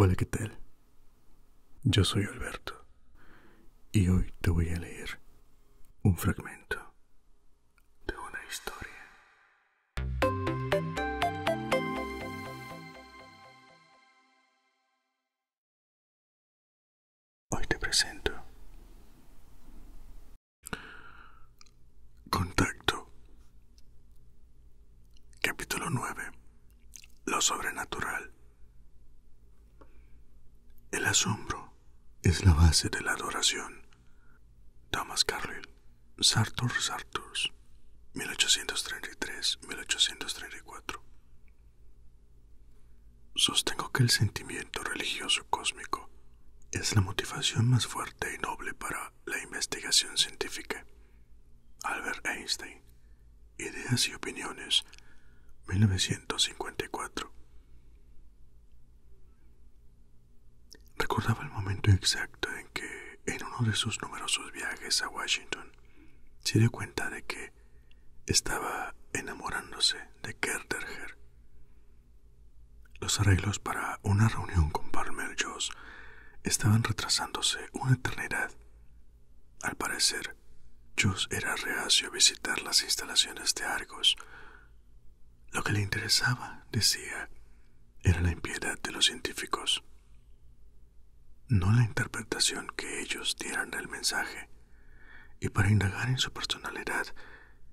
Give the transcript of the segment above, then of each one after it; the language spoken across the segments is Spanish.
Hola, ¿qué tal? Yo soy Alberto y hoy te voy a leer un fragmento de una historia Hoy te presento Contacto Capítulo 9 Lo sobrenatural El asombro es la base de la adoración. Thomas Carlyle Sartor Sartors, 1833-1834. Sostengo que el sentimiento religioso cósmico es la motivación más fuerte y noble para la investigación científica. Albert Einstein, Ideas y Opiniones, 1954. Recordaba el momento exacto en que, en uno de sus numerosos viajes a Washington, se dio cuenta de que estaba enamorándose de Kerterger. Los arreglos para una reunión con Palmer Joss estaban retrasándose una eternidad. Al parecer, Joss era reacio a visitar las instalaciones de Argos. Lo que le interesaba, decía, era la impiedad de los científicos, no la interpretación que ellos dieran del mensaje, y para indagar en su personalidad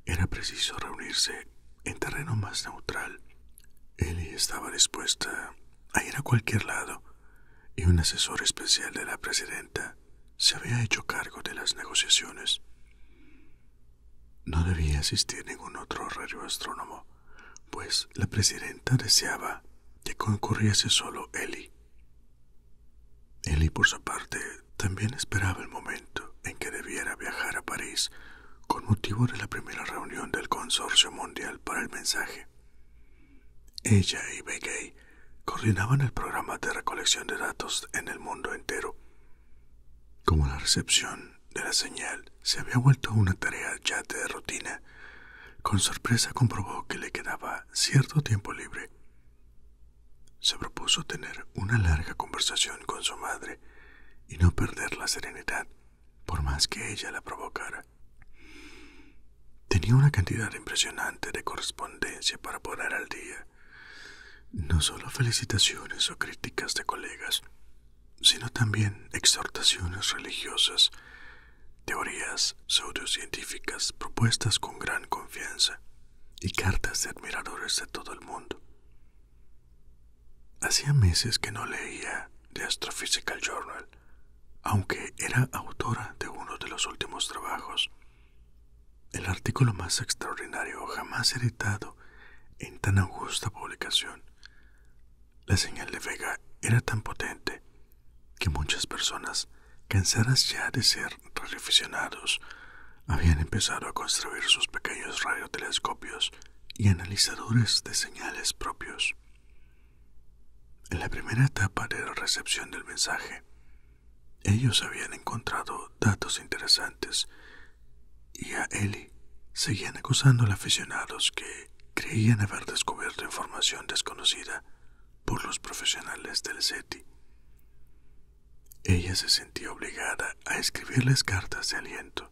era preciso reunirse en terreno más neutral. Ellie estaba dispuesta a ir a cualquier lado, y un asesor especial de la presidenta se había hecho cargo de las negociaciones. No debía asistir ningún otro radioastrónomo, pues la presidenta deseaba que concurriese solo Eli. Eli, por su parte, también esperaba el momento en que debiera viajar a París con motivo de la primera reunión del Consorcio Mundial para el Mensaje. Ella y Begay coordinaban el programa de recolección de datos en el mundo entero. Como la recepción de la señal se había vuelto una tarea ya de rutina. Con sorpresa comprobó que le quedaba cierto tiempo libre. Se propuso tener una larga conversación con su madre y no perder la serenidad, por más que ella la provocara. Tenía una cantidad impresionante de correspondencia para poner al día, no solo felicitaciones o críticas de colegas, sino también exhortaciones religiosas, teorías pseudocientíficas propuestas con gran confianza y cartas de admiradores de todo el mundo. Hacía meses que no leía The Astrophysical Journal, aunque era autora de uno de los últimos trabajos, el artículo más extraordinario jamás editado en tan augusta publicación la señal de Vega era tan potente que muchas personas, cansadas ya de ser radioaficionados, habían empezado a construir sus pequeños radiotelescopios y analizadores de señales propios. En la primera etapa de la recepción del mensaje, ellos habían encontrado datos interesantes y a Ellie seguían acusando a aficionados que creían haber descubierto información desconocida por los profesionales del SETI. Ella se sentía obligada a escribirles cartas de aliento.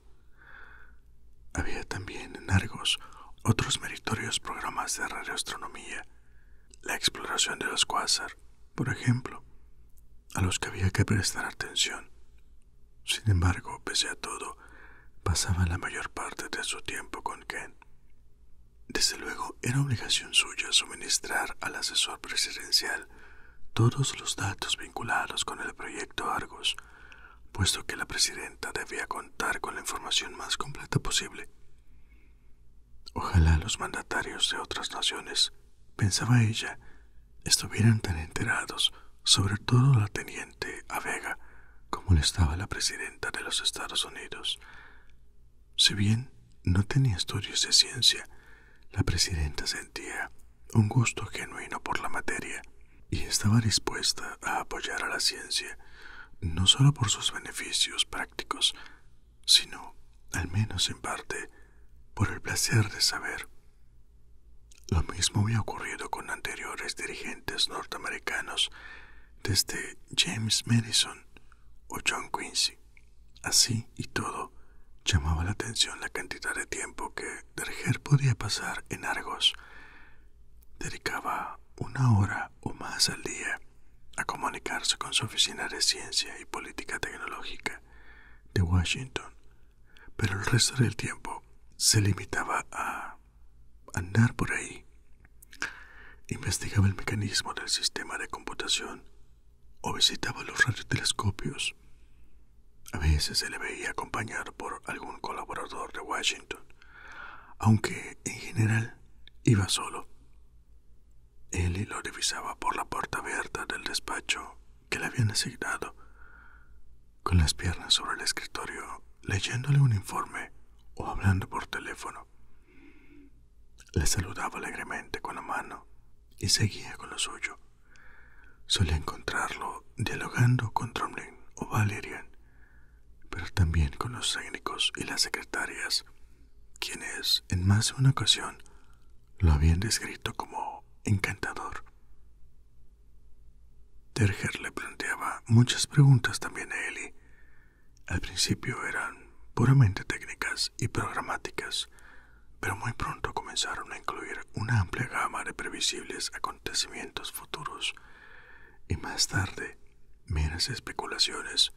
Había también en Argos otros meritorios programas de radioastronomía, la exploración de los cuásar, por ejemplo, a los que había que prestar atención sin embargo, pese a todo, pasaba la mayor parte de su tiempo con Ken. Desde luego, era obligación suya suministrar al asesor presidencial todos los datos vinculados con el proyecto Argos, puesto que la presidenta debía contar con la información más completa posible. Ojalá los mandatarios de otras naciones, pensaba ella, estuvieran tan enterados, sobre todo la teniente Vega, como le estaba la presidenta de los Estados Unidos. Si bien no tenía estudios de ciencia, la presidenta sentía un gusto genuino por la materia y estaba dispuesta a apoyar a la ciencia, no solo por sus beneficios prácticos, sino, al menos en parte, por el placer de saber lo mismo había ocurrido con anteriores dirigentes norteamericanos, desde James Madison o John Quincy. Así y todo, llamaba la atención la cantidad de tiempo que Derger podía pasar en Argos. Dedicaba una hora o más al día a comunicarse con su oficina de ciencia y política tecnológica de Washington pero el resto del tiempo se limitaba a andar por ahí. Investigaba el mecanismo del sistema de computación o visitaba los radiotelescopios. A veces se le veía acompañado por algún colaborador de Washington, aunque en general iba solo. él lo divisaba por la puerta abierta del despacho que le habían asignado, con las piernas sobre el escritorio, leyéndole un informe o hablando por teléfono. Le saludaba alegremente con la mano y seguía con lo suyo. Solía encontrarlo dialogando con Tromlin o Valerian, pero también con los técnicos y las secretarias, quienes en más de una ocasión lo habían descrito como encantador. Terger le planteaba muchas preguntas también a Ellie. Al principio eran puramente técnicas y programáticas, pero muy pronto comenzaron a incluir una amplia gama de previsibles acontecimientos futuros y más tarde meras especulaciones.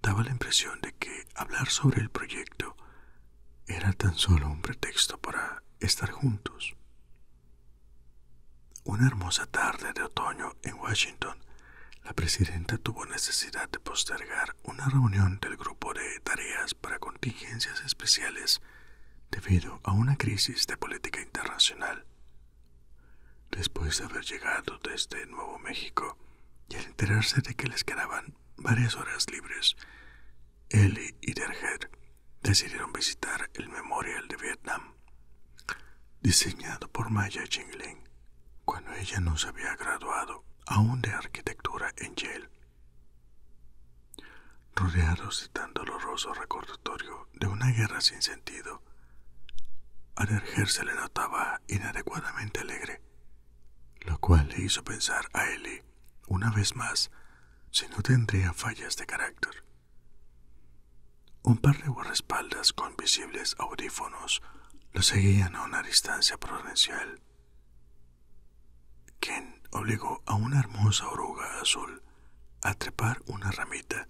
Daba la impresión de que hablar sobre el proyecto era tan solo un pretexto para estar juntos. Una hermosa tarde de otoño en Washington, la presidenta tuvo necesidad de postergar una reunión del grupo de tareas para contingencias especiales debido a una crisis de política internacional. Después de haber llegado desde Nuevo México y al enterarse de que les quedaban varias horas libres, Ellie y Derger decidieron visitar el Memorial de Vietnam, diseñado por Maya Ching-Ling, cuando ella no se había graduado aún de arquitectura en Yale. Rodeados de tan doloroso recordatorio de una guerra sin sentido, a Derger se le notaba inadecuadamente alegre, lo cual le hizo pensar a Ellie, una vez más, si no tendría fallas de carácter. Un par de guardaespaldas con visibles audífonos lo seguían a una distancia prudencial. quien obligó a una hermosa oruga azul a trepar una ramita.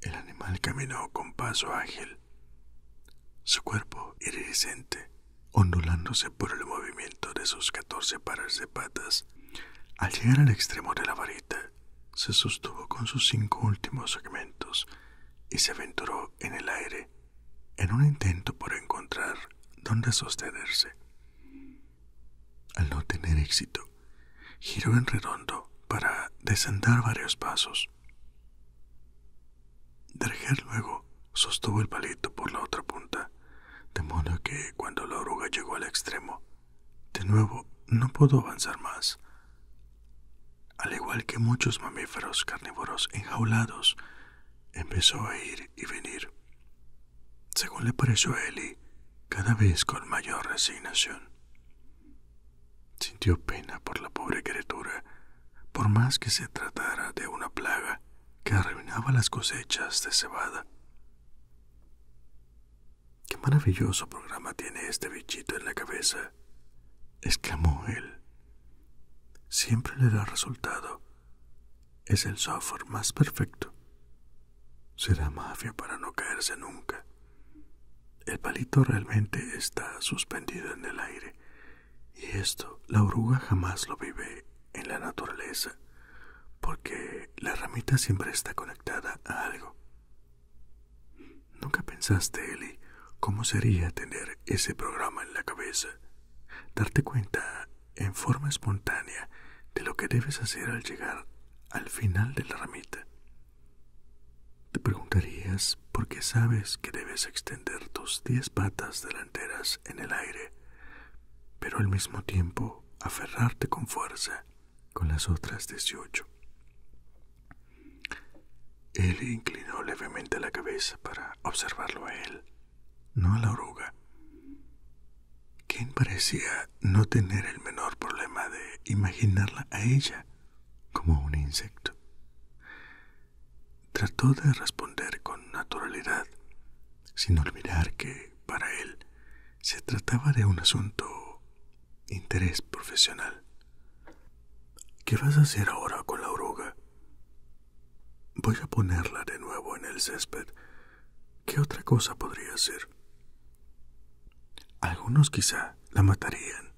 El animal caminó con paso ágil, su cuerpo iridiscente ondulándose por el movimiento de sus catorce pares de patas. Al llegar al extremo de la varita, se sostuvo con sus cinco últimos segmentos y se aventuró en el aire en un intento por encontrar dónde sostenerse. Al no tener éxito, giró en redondo para descender varios pasos. Derger luego sostuvo el palito por la otra punta de modo que cuando la oruga llegó al extremo, de nuevo no pudo avanzar más. Al igual que muchos mamíferos carnívoros enjaulados, empezó a ir y venir. Según le pareció a Eli, cada vez con mayor resignación. Sintió pena por la pobre criatura, por más que se tratara de una plaga que arruinaba las cosechas de cebada. Qué maravilloso programa tiene este bichito en la cabeza, exclamó él. Siempre le da resultado. Es el software más perfecto. Será mafia para no caerse nunca. El palito realmente está suspendido en el aire, y esto la oruga jamás lo vive en la naturaleza, porque la ramita siempre está conectada a algo. ¿Nunca pensaste, Eli, cómo sería tener ese programa en la cabeza? Darte cuenta en forma espontánea de lo que debes hacer al llegar al final de la ramita. Te preguntarías por qué sabes que debes extender tus diez patas delanteras en el aire, pero al mismo tiempo aferrarte con fuerza con las otras dieciocho. Él inclinó levemente la cabeza para observarlo a él, no a la oruga, quien parecía no tener el menor problema de imaginarla a ella como un insecto. Trató de responder con naturalidad sin olvidar que, para él, se trataba de un asunto interés profesional. ¿Qué vas a hacer ahora con la oruga? Voy a ponerla de nuevo en el césped. ¿Qué otra cosa podría hacer? Algunos quizá la matarían.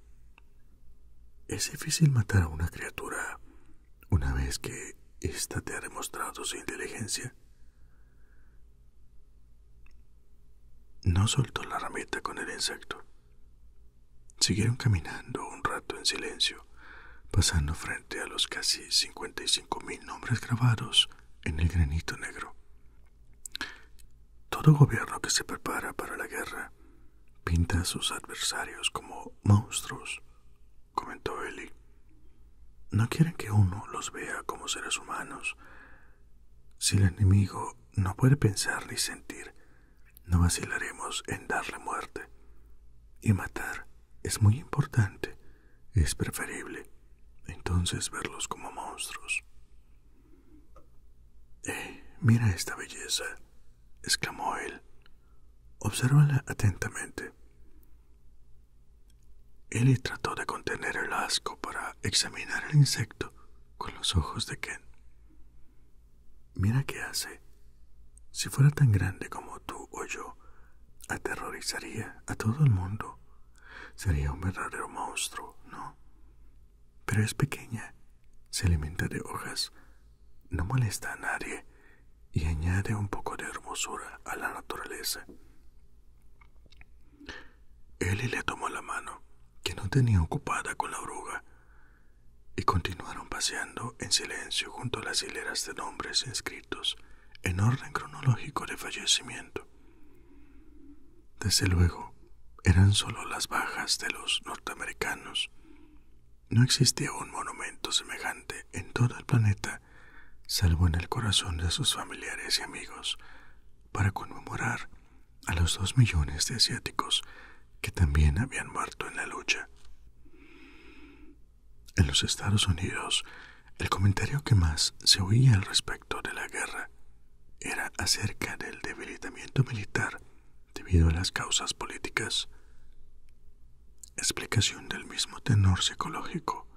Es difícil matar a una criatura una vez que ésta te ha demostrado su inteligencia. No soltó la ramita con el insecto. Siguieron caminando un rato en silencio, pasando frente a los casi cincuenta y cinco mil nombres grabados en el granito negro. Todo gobierno que se prepara para la guerra pinta a sus adversarios como monstruos comentó Ellie No quieren que uno los vea como seres humanos. Si el enemigo no puede pensar ni sentir, no vacilaremos en darle muerte. Y matar es muy importante, es preferible entonces verlos como monstruos. Eh, mira esta belleza, exclamó él. Obsérvala atentamente. Él trató de contener el asco para examinar el insecto con los ojos de Ken. Mira qué hace. Si fuera tan grande como tú o yo, aterrorizaría a todo el mundo. Sería un verdadero monstruo, ¿no? Pero es pequeña, se alimenta de hojas, no molesta a nadie y añade un poco de hermosura a la naturaleza. Eli le tomó la mano, que no tenía ocupada con la oruga, y continuaron paseando en silencio junto a las hileras de nombres inscritos en orden cronológico de fallecimiento. Desde luego, eran solo las bajas de los norteamericanos. No existía un monumento semejante en todo el planeta salvo en el corazón de sus familiares y amigos, para conmemorar a los dos millones de asiáticos que también habían muerto en la lucha. En los Estados Unidos, el comentario que más se oía al respecto de la guerra era acerca del debilitamiento militar debido a las causas políticas explicación del mismo tenor psicológico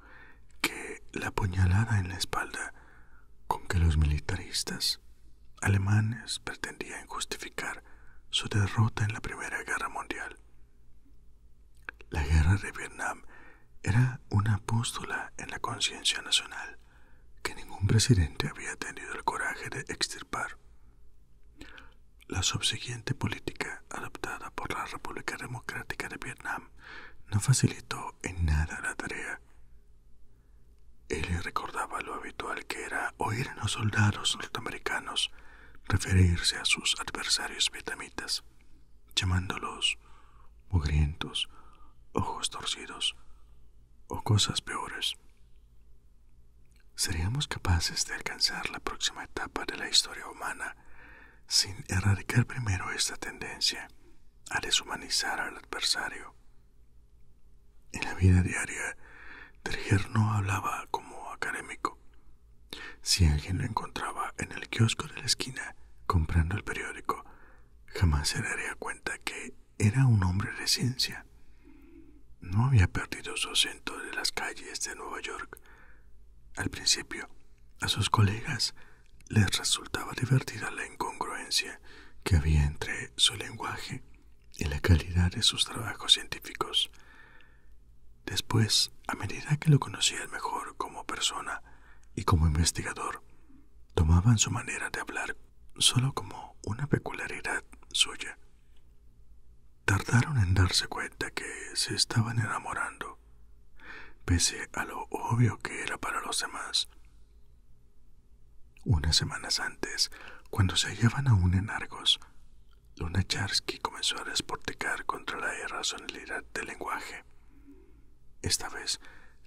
que la puñalada en la espalda con que los militaristas alemanes pretendían justificar su derrota en la Primera Guerra Mundial. La guerra de Vietnam era una apóstola en la conciencia nacional que ningún presidente había tenido el coraje de extirpar. La subsiguiente política adoptada por la República Democrática de Vietnam no facilitó en nada la tarea. Él recordaba lo habitual que era oír a los soldados norteamericanos referirse a sus adversarios vietnamitas, llamándolos mugrientos, ojos torcidos o cosas peores. ¿Seríamos capaces de alcanzar la próxima etapa de la historia humana sin erradicar primero esta tendencia a deshumanizar al adversario. En la vida diaria, Terger no hablaba como académico. Si alguien lo encontraba en el kiosco de la esquina comprando el periódico, jamás se daría cuenta que era un hombre de ciencia. No había perdido su acento de las calles de Nueva York, al principio, a sus colegas les resultaba divertida la incongruencia que había entre su lenguaje y la calidad de sus trabajos científicos. Después, a medida que lo conocían mejor como persona y como investigador, tomaban su manera de hablar solo como una peculiaridad suya tardaron en darse cuenta que se estaban enamorando, pese a lo obvio que era para los demás. Unas semanas antes, cuando se hallaban aún en Argos, Charsky comenzó a desporticar contra la irracionalidad del lenguaje. Esta vez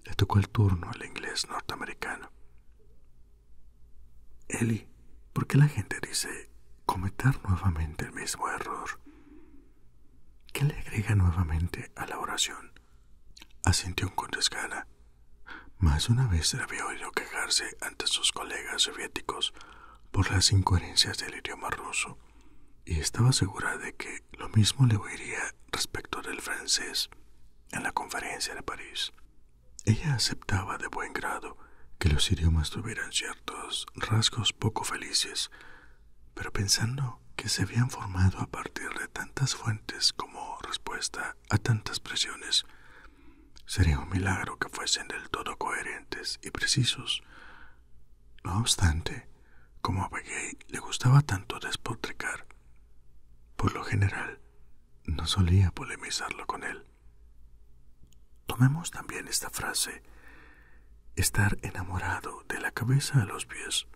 le tocó el turno al inglés norteamericano. Eli, ¿por qué la gente dice cometer nuevamente el mismo error? qué le agrega nuevamente a la oración. Asintió con desgana. Más una vez se había oído quejarse ante sus colegas soviéticos por las incoherencias del idioma ruso, y estaba segura de que lo mismo le oiría respecto del francés en la conferencia de París. Ella aceptaba de buen grado que los idiomas tuvieran ciertos rasgos poco felices, pero pensando que se habían formado a partir de tantas fuentes como respuesta a tantas presiones, sería un milagro que fuesen del todo coherentes y precisos. No obstante, como a Begay le gustaba tanto despotricar, por lo general no solía polemizarlo con él. Tomemos también esta frase estar enamorado de la cabeza a los pies,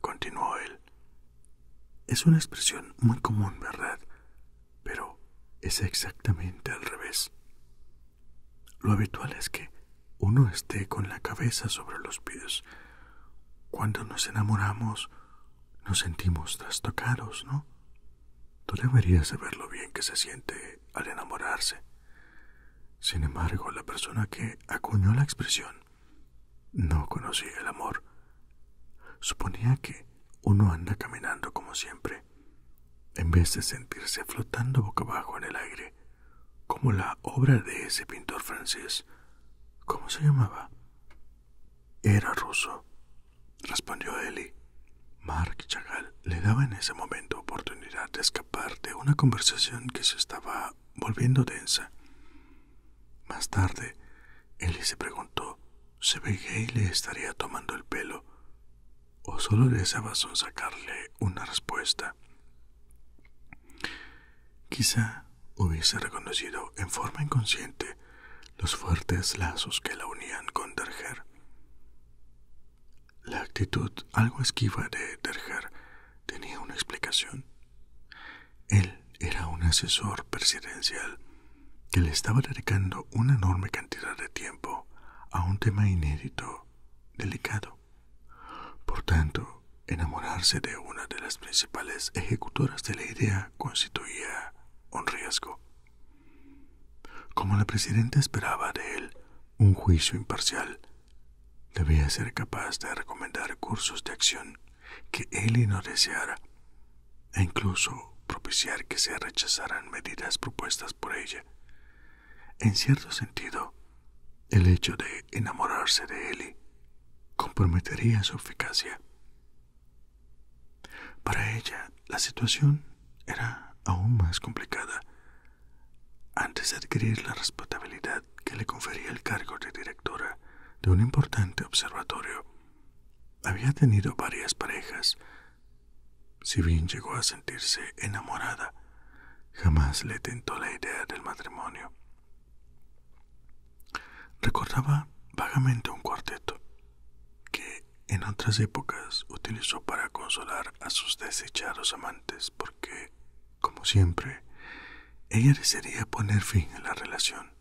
continuó él. Es una expresión muy común, ¿verdad? Pero es exactamente al revés. Lo habitual es que uno esté con la cabeza sobre los pies. Cuando nos enamoramos, nos sentimos trastocados, ¿no? Tú deberías saber lo bien que se siente al enamorarse. Sin embargo, la persona que acuñó la expresión no conocía el amor. Suponía que uno anda caminando como siempre, en vez de sentirse flotando boca abajo en el aire, como la obra de ese pintor francés. ¿Cómo se llamaba? Era ruso, respondió Eli, Mark Chagall le daba en ese momento oportunidad de escapar de una conversación que se estaba volviendo densa. Más tarde, Ellie se preguntó si Gay le estaría tomando el pelo o solo deseaba sacarle una respuesta. Quizá hubiese reconocido en forma inconsciente los fuertes lazos que la unían con Derger. La actitud algo esquiva de Derger tenía una explicación. Él era un asesor presidencial que le estaba dedicando una enorme cantidad de tiempo a un tema inédito, delicado. Por tanto, enamorarse de una de las principales ejecutoras de la idea constituía un riesgo. Como la presidenta esperaba de él un juicio imparcial, debía ser capaz de recomendar cursos de acción que él no deseara, e incluso propiciar que se rechazaran medidas propuestas por ella. En cierto sentido, el hecho de enamorarse de Eli comprometería su eficacia. Para ella, la situación era aún más complicada, antes de adquirir la responsabilidad que le confería el cargo de directora de un importante observatorio, había tenido varias parejas. Si bien llegó a sentirse enamorada, jamás le tentó la idea del matrimonio. Recordaba vagamente un cuarteto que en otras épocas utilizó para consolar a sus desechados amantes porque, como siempre, ella desearía poner fin a la relación.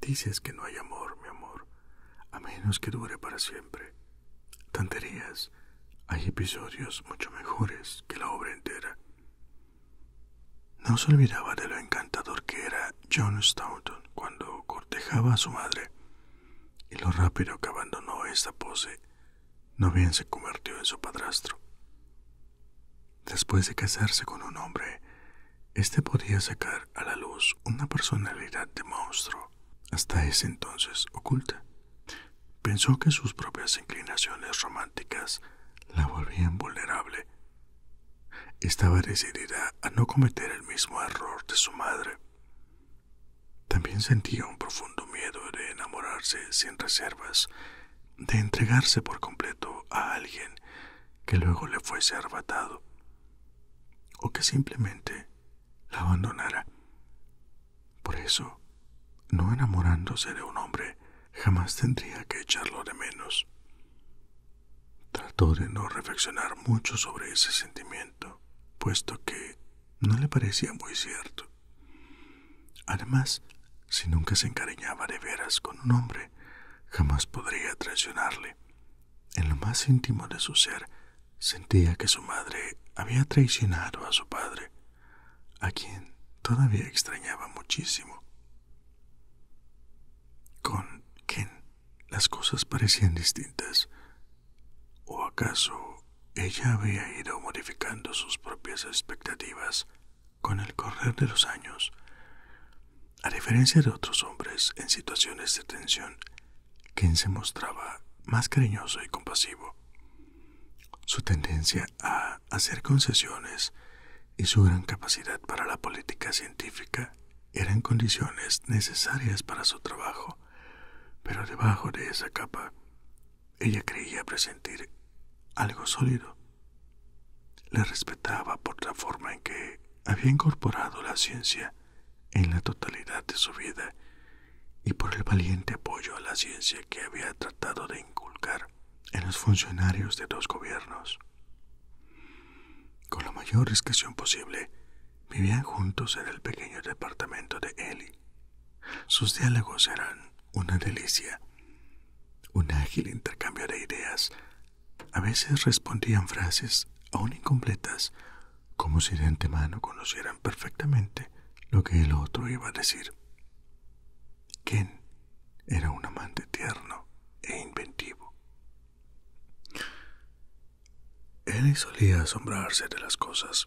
Dices que no hay amor, mi amor, a menos que dure para siempre. Tanterías, hay episodios mucho mejores que la obra entera. No se olvidaba de lo encantador que era John Staunton cuando cortejaba a su madre, y lo rápido que abandonó esta pose no bien se convirtió en su padrastro. Después de casarse con un hombre, éste podía sacar a la luz una personalidad de monstruo, hasta ese entonces oculta. Pensó que sus propias inclinaciones románticas la volvían vulnerable. Estaba decidida a no cometer el mismo error de su madre. También sentía un profundo miedo de enamorarse sin reservas, de entregarse por completo a alguien que luego le fuese arrebatado, o que simplemente la abandonara. Por eso, no enamorándose de un hombre, jamás tendría que echarlo de menos. Trató de no reflexionar mucho sobre ese sentimiento, puesto que no le parecía muy cierto. Además, si nunca se encariñaba de veras con un hombre, jamás podría traicionarle. En lo más íntimo de su ser, sentía que su madre había traicionado a su padre, a quien todavía extrañaba muchísimo. Con quien las cosas parecían distintas. ¿O acaso ella había ido modificando sus propias expectativas con el correr de los años. A diferencia de otros hombres en situaciones de tensión, quien se mostraba más cariñoso y compasivo. Su tendencia a hacer concesiones y su gran capacidad para la política científica eran condiciones necesarias para su trabajo pero debajo de esa capa ella creía presentir algo sólido. le respetaba por la forma en que había incorporado la ciencia en la totalidad de su vida y por el valiente apoyo a la ciencia que había tratado de inculcar en los funcionarios de dos gobiernos. Con la mayor discreción posible, Vivían juntos en el pequeño departamento de Ellie. Sus diálogos eran una delicia, un ágil intercambio de ideas. A veces respondían frases aún incompletas, como si de antemano conocieran perfectamente lo que el otro iba a decir. Ken era un amante tierno e inventivo. Él solía asombrarse de las cosas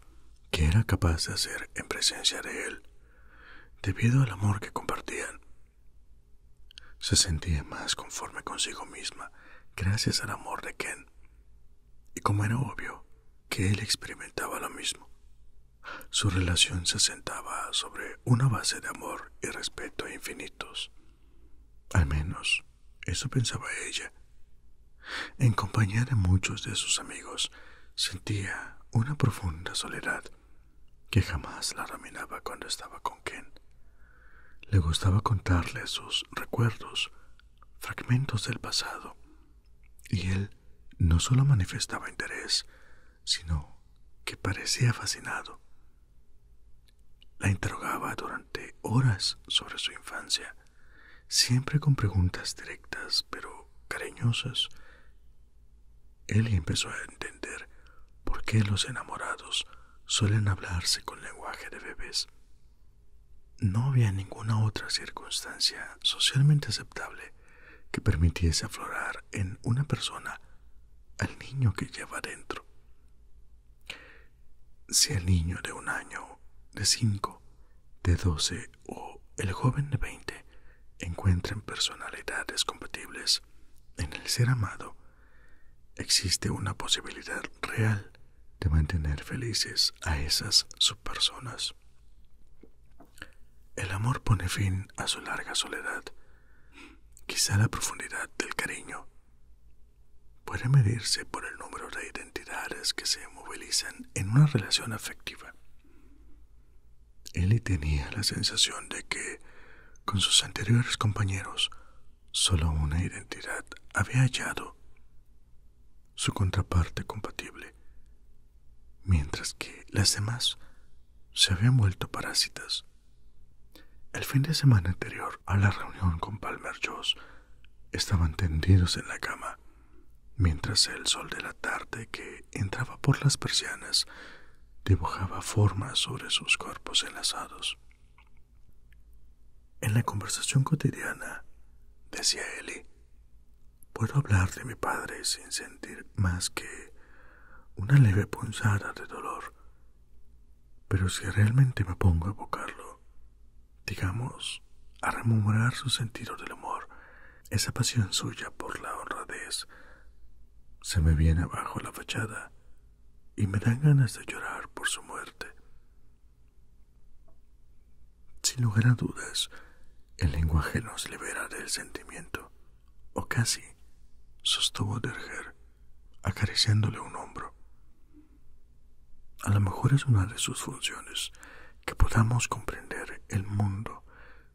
que era capaz de hacer en presencia de él, debido al amor que compartían. Se sentía más conforme consigo misma gracias al amor de Ken, y como era obvio que él experimentaba lo mismo, su relación se sentaba sobre una base de amor y respeto infinitos. Al menos, eso pensaba ella. En compañía de muchos de sus amigos, sentía una profunda soledad que jamás la dominaba cuando estaba con Ken. Le gustaba contarle sus recuerdos, fragmentos del pasado, y él no solo manifestaba interés, sino que parecía fascinado. La interrogaba durante horas sobre su infancia, siempre con preguntas directas pero cariñosas. Él empezó a entender por qué los enamorados suelen hablarse con lenguaje de bebés. No había ninguna otra circunstancia socialmente aceptable que permitiese aflorar en una persona al niño que lleva dentro. Si el niño de un año, de cinco, de doce o el joven de veinte, encuentran personalidades compatibles en el ser amado, existe una posibilidad real de mantener felices a esas subpersonas. El amor pone fin a su larga soledad, quizá la profundidad del cariño puede medirse por el número de identidades que se movilizan en una relación afectiva. Él tenía la sensación de que, con sus anteriores compañeros, solo una identidad había hallado su contraparte compatible, mientras que las demás se habían vuelto parásitas. El fin de semana anterior a la reunión con Palmer Joss, estaban tendidos en la cama, mientras el sol de la tarde que entraba por las persianas dibujaba formas sobre sus cuerpos enlazados. En la conversación cotidiana, decía Eli, puedo hablar de mi padre sin sentir más que una leve punzada de dolor, pero si realmente me pongo a evocarlo, digamos, a rememorar su sentido del amor, esa pasión suya por la honradez. Se me viene abajo la fachada y me dan ganas de llorar por su muerte. Sin lugar a dudas, el lenguaje nos libera del sentimiento, o casi, sostuvo Derger, acariciándole un hombro. A lo mejor es una de sus funciones que podamos comprender el mundo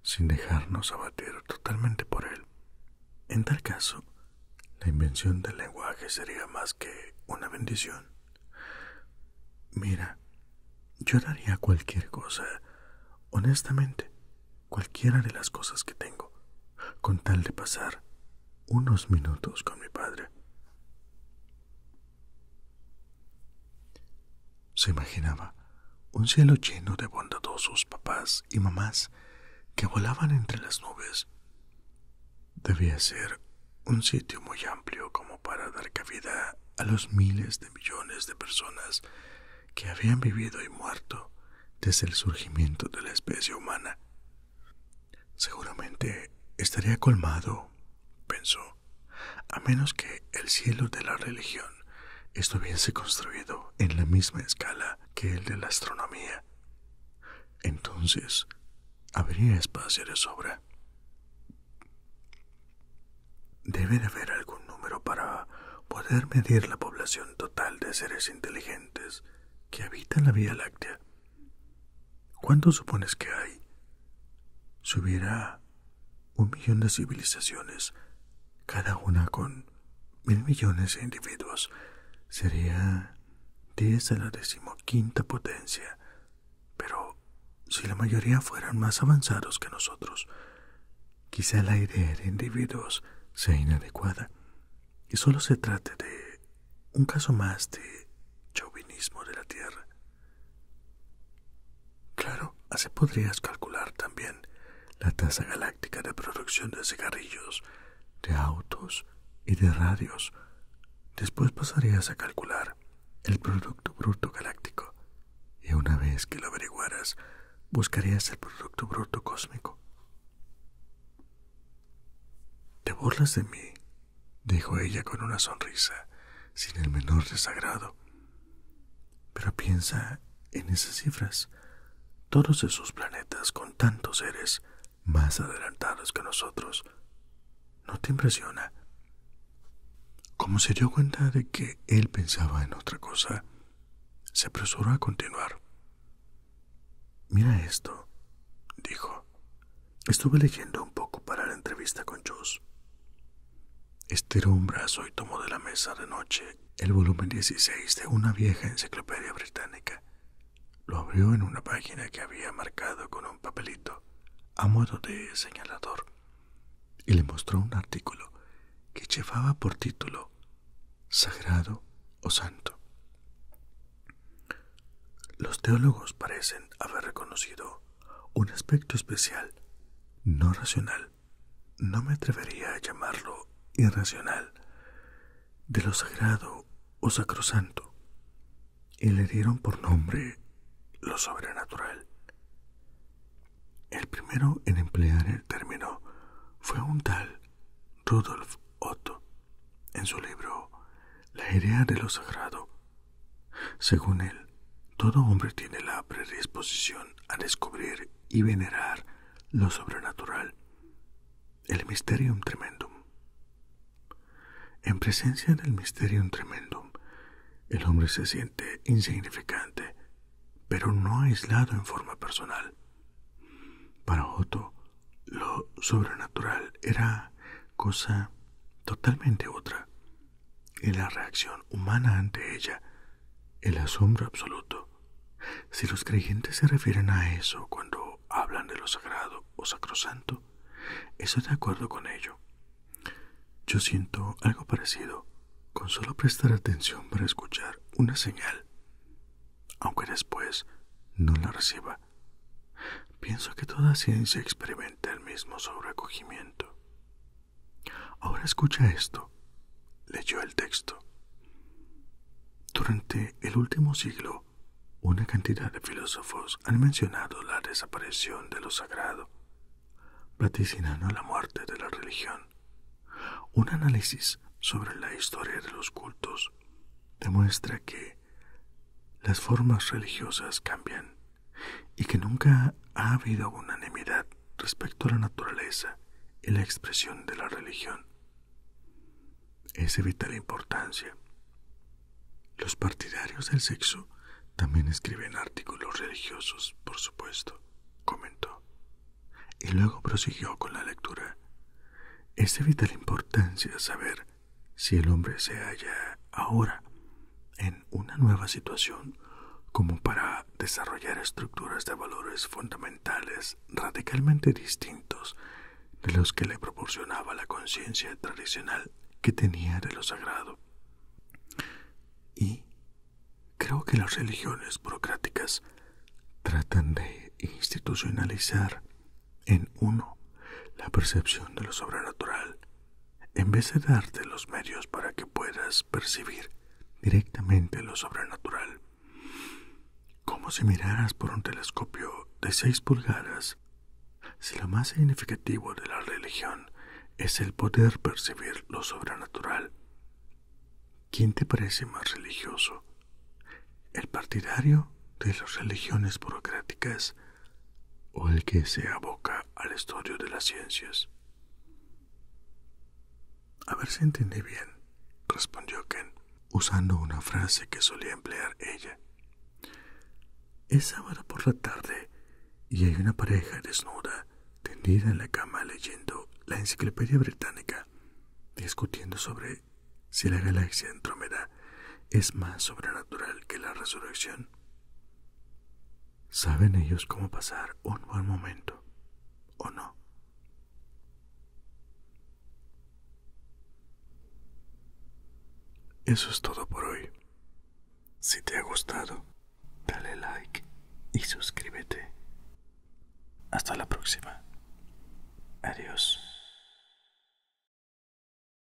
sin dejarnos abatir totalmente por él. En tal caso, la invención del lenguaje sería más que una bendición. Mira, yo daría cualquier cosa, honestamente, cualquiera de las cosas que tengo, con tal de pasar unos minutos con mi padre. Se imaginaba un cielo lleno de bondadosos papás y mamás que volaban entre las nubes. Debía ser un sitio muy amplio como para dar cabida a los miles de millones de personas que habían vivido y muerto desde el surgimiento de la especie humana. Seguramente estaría colmado, pensó, a menos que el cielo de la religión estuviese construido en la misma escala que el de la astronomía. Entonces, habría espacio de sobra. Debe de haber algún número para poder medir la población total de seres inteligentes que habitan la Vía Láctea. ¿Cuánto supones que hay? Si hubiera un millón de civilizaciones, cada una con mil millones de individuos, sería diez a la decimoquinta potencia. Pero si la mayoría fueran más avanzados que nosotros, quizá la idea de individuos sea inadecuada y solo se trate de un caso más de chauvinismo de la tierra. Claro, así podrías calcular también la tasa galáctica de producción de cigarrillos, de autos y de radios. Después pasarías a calcular el Producto Bruto Galáctico y una vez que lo averiguaras, buscarías el Producto Bruto Cósmico. Te burlas de mí dijo ella con una sonrisa, sin el menor desagrado. Pero piensa en esas cifras. Todos esos planetas con tantos seres más adelantados que nosotros. ¿No te impresiona? Como se dio cuenta de que él pensaba en otra cosa, se apresuró a continuar. Mira esto, dijo. Estuve leyendo un poco para la entrevista con Joss. Estiró un brazo y tomó de la mesa de noche el volumen 16 de una vieja enciclopedia británica. Lo abrió en una página que había marcado con un papelito a modo de señalador y le mostró un artículo que llevaba por título Sagrado o Santo. Los teólogos parecen haber reconocido un aspecto especial, no racional, no me atrevería a llamarlo irracional, de lo sagrado o sacrosanto, y le dieron por nombre lo sobrenatural. El primero en emplear el término fue un tal Rudolf Otto, en su libro La idea de lo sagrado según él, todo hombre tiene la predisposición a descubrir y venerar lo sobrenatural, el Mysterium Tremendum. En presencia del Mysterium Tremendum, el hombre se siente insignificante, pero no aislado en forma personal. Para Otto, lo sobrenatural era cosa totalmente otra, y la reacción humana ante ella, el asombro absoluto. Si los creyentes se refieren a eso cuando hablan de lo sagrado o sacrosanto, estoy de acuerdo con ello. Yo siento algo parecido con solo prestar atención para escuchar una señal, aunque después no la reciba. Pienso que toda ciencia experimenta el mismo sobrecogimiento. Ahora escucha esto. Leyó el texto. Durante el último siglo, una cantidad de filósofos han mencionado la desaparición de lo sagrado, vaticinando la muerte de la religión. Un análisis sobre la historia de los cultos demuestra que las formas religiosas cambian y que nunca ha habido unanimidad respecto a la naturaleza y la expresión de la religión. Es vital importancia. Los partidarios del sexo también escriben artículos religiosos, por supuesto, comentó. Y luego prosiguió con la lectura. Es vital importancia saber si el hombre se halla ahora en una nueva situación como para desarrollar estructuras de valores fundamentales radicalmente distintos de los que le proporcionaba la conciencia tradicional que tenía de lo sagrado. Y creo que las religiones burocráticas tratan de institucionalizar en uno la percepción de lo sobrenatural, en vez de darte los medios para que puedas percibir directamente lo sobrenatural. Como si miraras por un telescopio de seis pulgadas, si lo más significativo de la religión es el poder percibir lo sobrenatural. ¿Quién te parece más religioso? ¿El partidario de las religiones burocráticas o el que se aboca al estudio de las ciencias. A ver si entendí bien, respondió Ken, usando una frase que solía emplear ella. Es sábado por la tarde y hay una pareja desnuda tendida en la cama leyendo la enciclopedia británica, discutiendo sobre si la galaxia Andrómeda es más sobrenatural que la resurrección. Saben ellos cómo pasar un buen momento, ¿o no? Eso es todo por hoy. Si te ha gustado, dale like y suscríbete. Hasta la próxima. Adiós.